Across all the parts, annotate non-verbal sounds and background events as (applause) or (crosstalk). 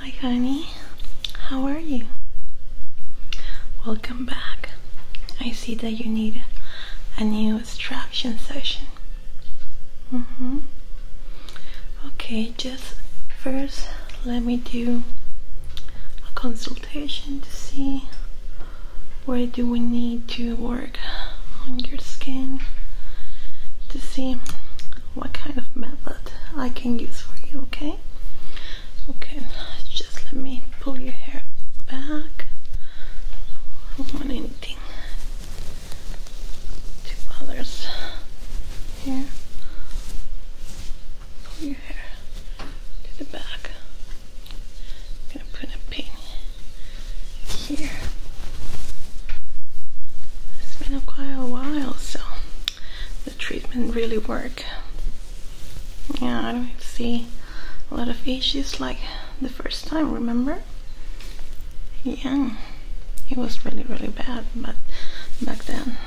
Hi, honey. How are you? Welcome back. I see that you need a new extraction session. -hmm. Okay, just first let me do a consultation to see where do we need to work on your skin to see what kind of method I can use for you, okay? Okay, just let me pull your hair back. I don't want anything to bother here. Pull your hair to the back. gonna put a pin here. It's been a quite a while, so the treatment really worked. Yeah, I don't see a lot of issues like the first time, remember? Yeah, it was really, really bad but back then.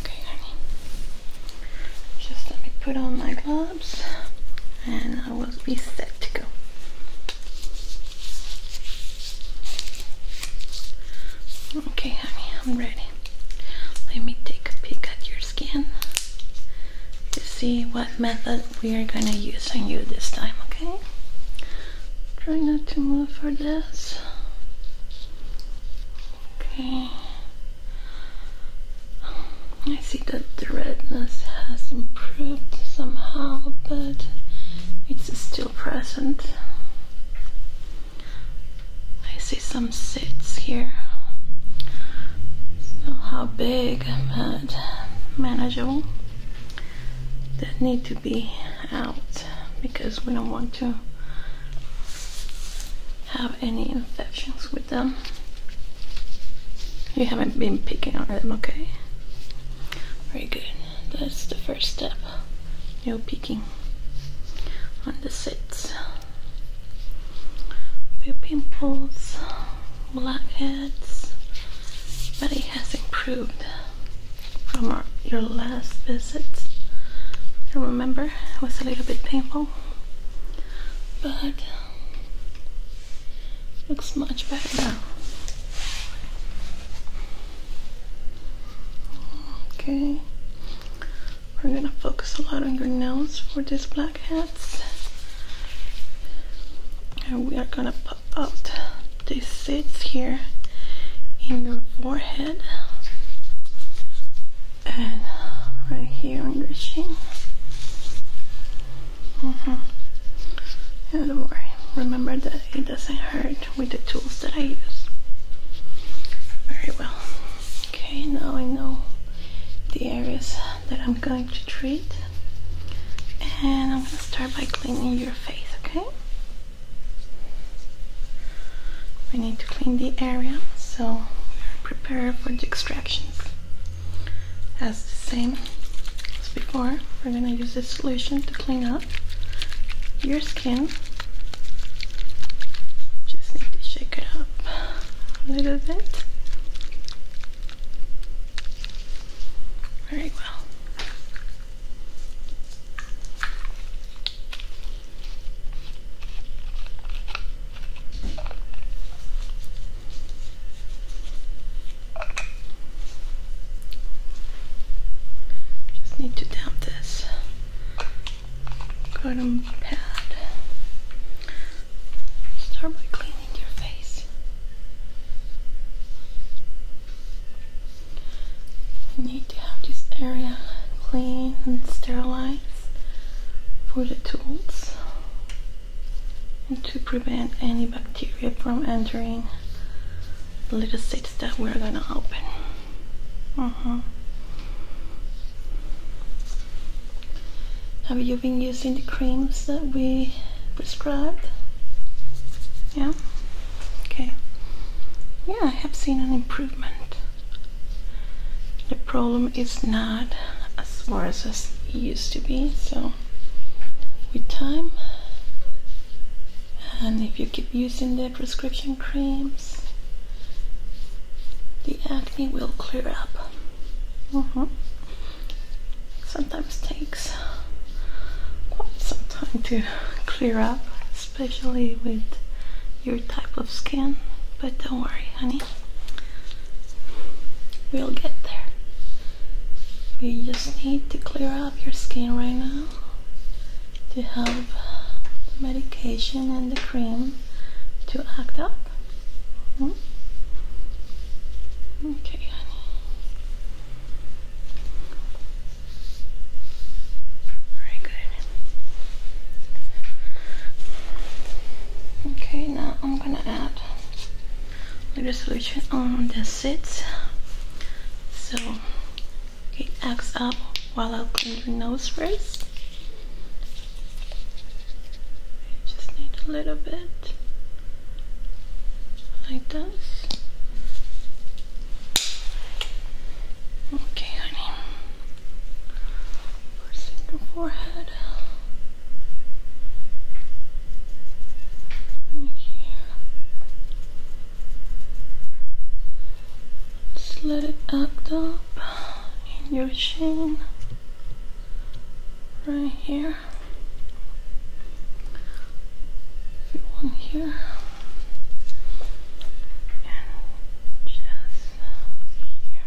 Okay, honey. Just let me put on my gloves and I will be set to go. Okay, honey, I'm ready. Let me take a peek at your skin to see what method we are gonna use on you this time, okay? Try not to move for this. Okay. I see that the redness has improved somehow, but it's still present. I see some sits here. not how big, but manageable. That need to be out because we don't want to have any infections with them. You haven't been picking on them, okay? Very good. That's the first step. No picking on the sits. Few pimples, blackheads, but it has improved from your last visit, I remember it was a little bit painful, but looks much better now. Okay, we're gonna focus a lot on your nose for these blackheads, and we are gonna pop out this sits here in your forehead and right here on your chin. Mm -hmm. Yeah, don't worry. Remember that it doesn't hurt with the tools that I use. Very well. Okay, now I know the areas that I'm going to treat. And I'm gonna start by cleaning your face, okay? We need to clean the area so prepare for the extractions. As the same as before, we're gonna use this solution to clean up your skin. Just need to shake it up a little bit. Very well. Just need to damp this cotton pad. Start by cleaning your face. You need to have this area clean and sterilized for the tools and to prevent any bacteria from entering the little sites that we're gonna open. Mm-hmm. Have you been using the creams that we prescribed? Yeah? Okay. Yeah, I have seen an improvement. The problem is not as worse as it used to be, so with time and if you keep using the prescription creams the acne will clear up. Mm -hmm sometimes takes quite some time to clear up, especially with your type of skin. But don't worry, honey, we'll get there. We just need to clear up your skin right now to help the medication and the cream to act up. Hmm? Okay, honey. Very good. Okay, now I'm gonna add the solution on the seats so it acts up while I clean your nose first. just need a little bit like this. Okay, honey. First in Here. Just let it act up in your chin right here one here and just here.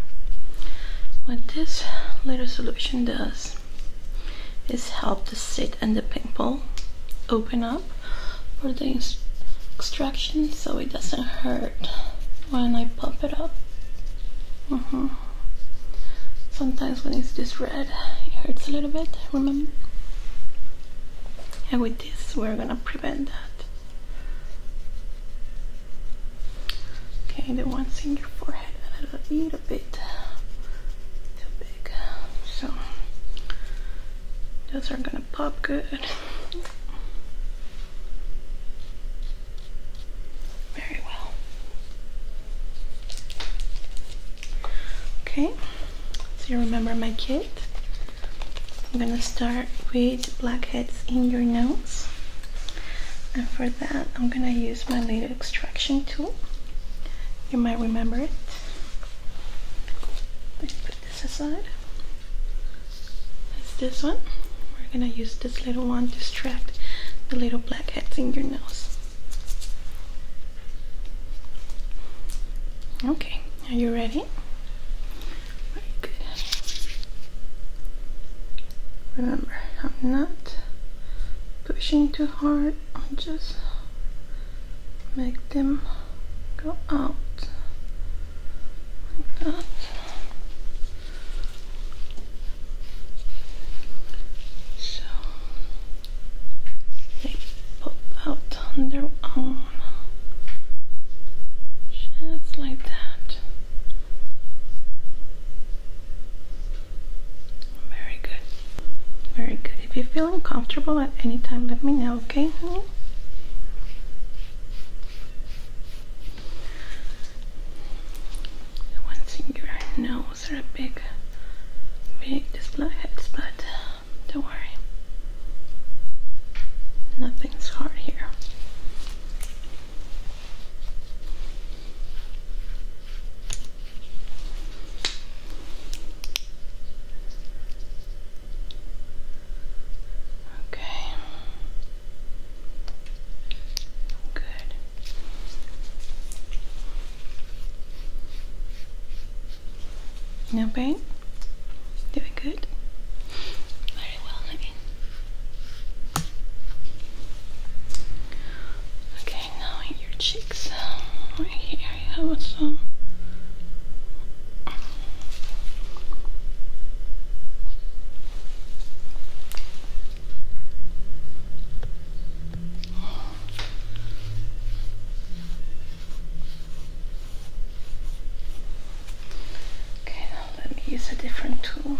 What this little solution does is help the seat and the pimple open up for the extraction so it doesn't hurt when I pump it up. Mm -hmm sometimes when it's just red it hurts a little bit remember and with this we're gonna prevent that okay the ones in your forehead are a little bit too big so those are gonna pop good very well. Okay, so you remember my kit. I'm gonna start with blackheads in your nose. And for that, I'm gonna use my little extraction tool. You might remember it. Let's put this aside. That's this one. We're gonna use this little one to extract the little black blackheads in your nose. Okay, are you ready? Remember, I'm not pushing too hard, i am just make them go out like that. So they pop out on their own just like that. Very good. Very good. If you are feeling uncomfortable at any time, let me know, okay? one finger and nose are a big, big display heads, but don't worry, nothing's hard here. Okay, Good. No pain? Doing good? Very well, Maggie. Okay, now your cheeks, um, right here, you have some. Okay, let me use a different tool.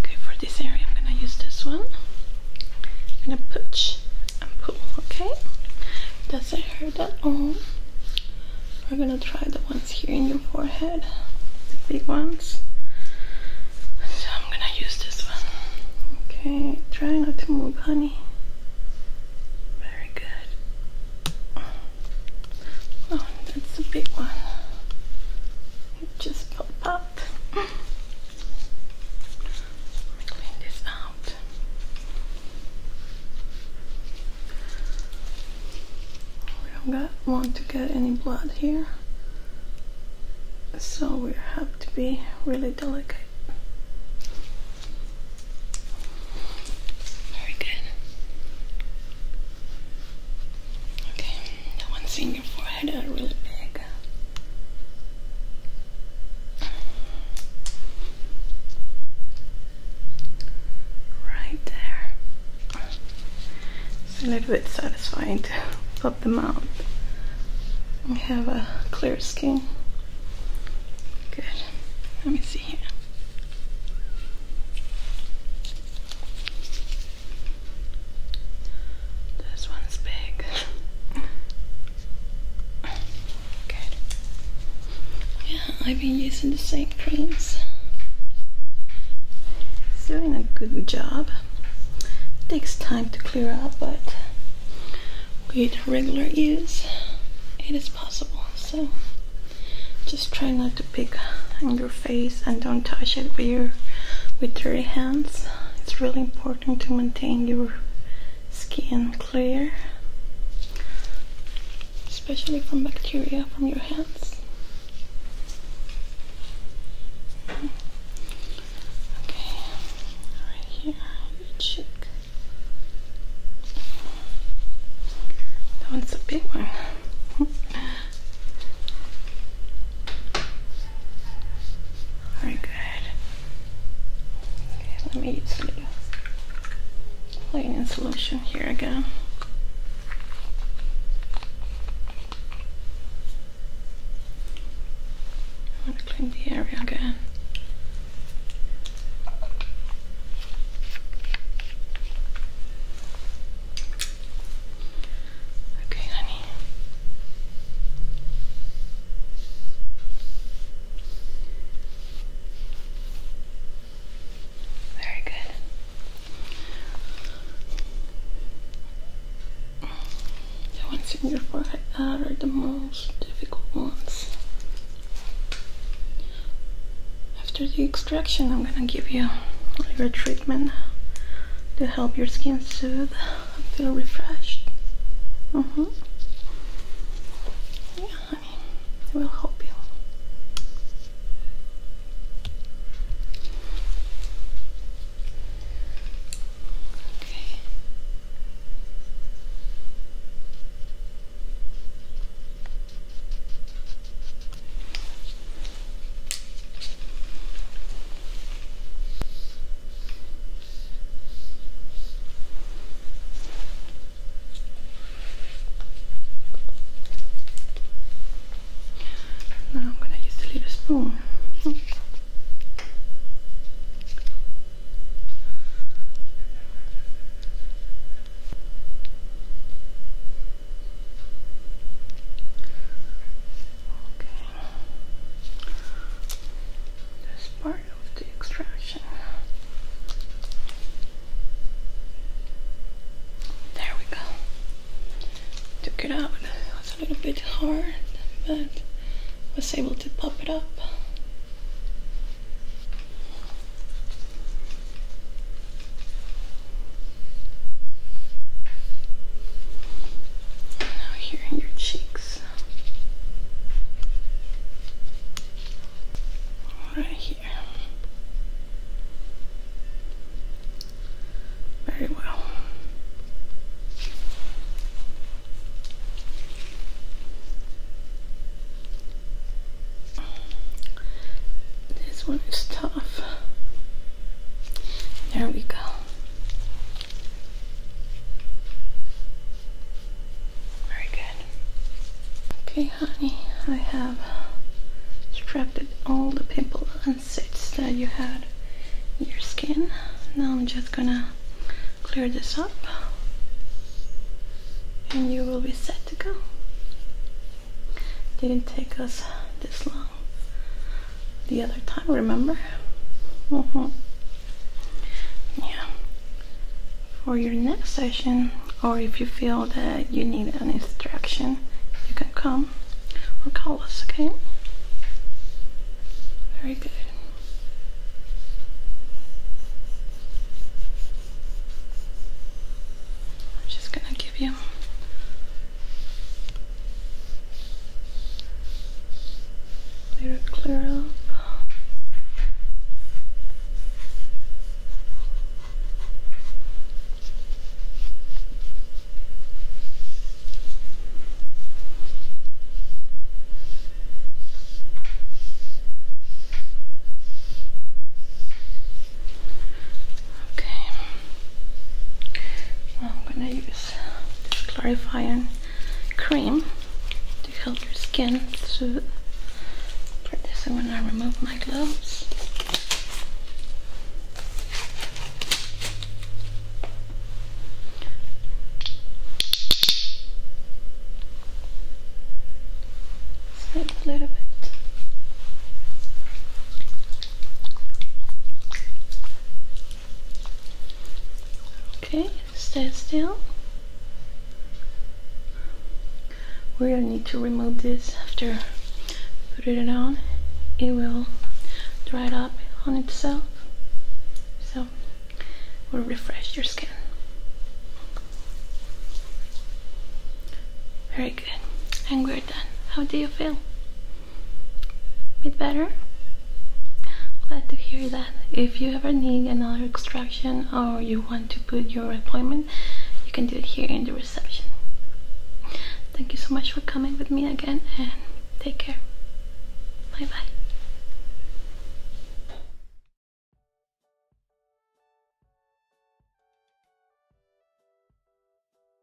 Okay, for this area, I'm gonna use this one. I'm gonna put and okay? Doesn't hurt at all. We're gonna try the ones here in your forehead, the big ones. So I'm gonna use this one. Okay, try not to move, honey. Very good. Oh, that's the big one. It just popped up. Clean this out. We don't want to get any blood here, so we have to be really delicate. Very good. Okay, the ones in your forehead are really big. Right there. It's a little bit satisfying to pop them out and have a clear skin. Good. Let me see here. This one's big. Good. Yeah, I've been using the same creams. It's doing a good job. It takes time to clear up, but with regular use, it is possible. So just try not to pick on your face and don't touch it with your with dirty hands. It's really important to maintain your skin clear, especially from bacteria from your hands. Okay, right here, cheek. That one's a big one. (laughs) Very good. Okay, let me use cleaning solution here again. I'm to clean the area again. Okay, honey. Very good. The ones in your forehead are the most difficult ones. After the extraction, I'm gonna give you your treatment to help your skin soothe I feel refreshed. Mm hmm Yeah, I mean, it will help you. Okay. Now I'm going to use the little spoon. That's part of the extraction. There we go. Took it out. It was a little bit hard, but was able to pop it up. Now here in your cheeks. Right here. Very well. This one is tough. There we go. Very good. Okay, honey, I have extracted all the pimples and zits that you had your skin. Now I'm just gonna clear this up and you will be set to go. Didn't take us this long the other time, remember? Mm-hmm. Yeah. For your next session, or if you feel that you need an instruction, you can come or call us, okay? Very good. I'm just gonna give you Later clear up. Okay. I'm gonna use this clarifying cream to help your skin So, put this in when I remove my gloves. slip a little bit. Okay, stay still. We're gonna need to remove this after put it on. It will dry up on itself. So we will refresh your skin. Very and we're done. How do you feel? Bit better? Glad to hear that. If you ever need another extraction or you want to put your appointment, you can do it here in the reception. Thank you so much for coming with me again and take care. Bye bye.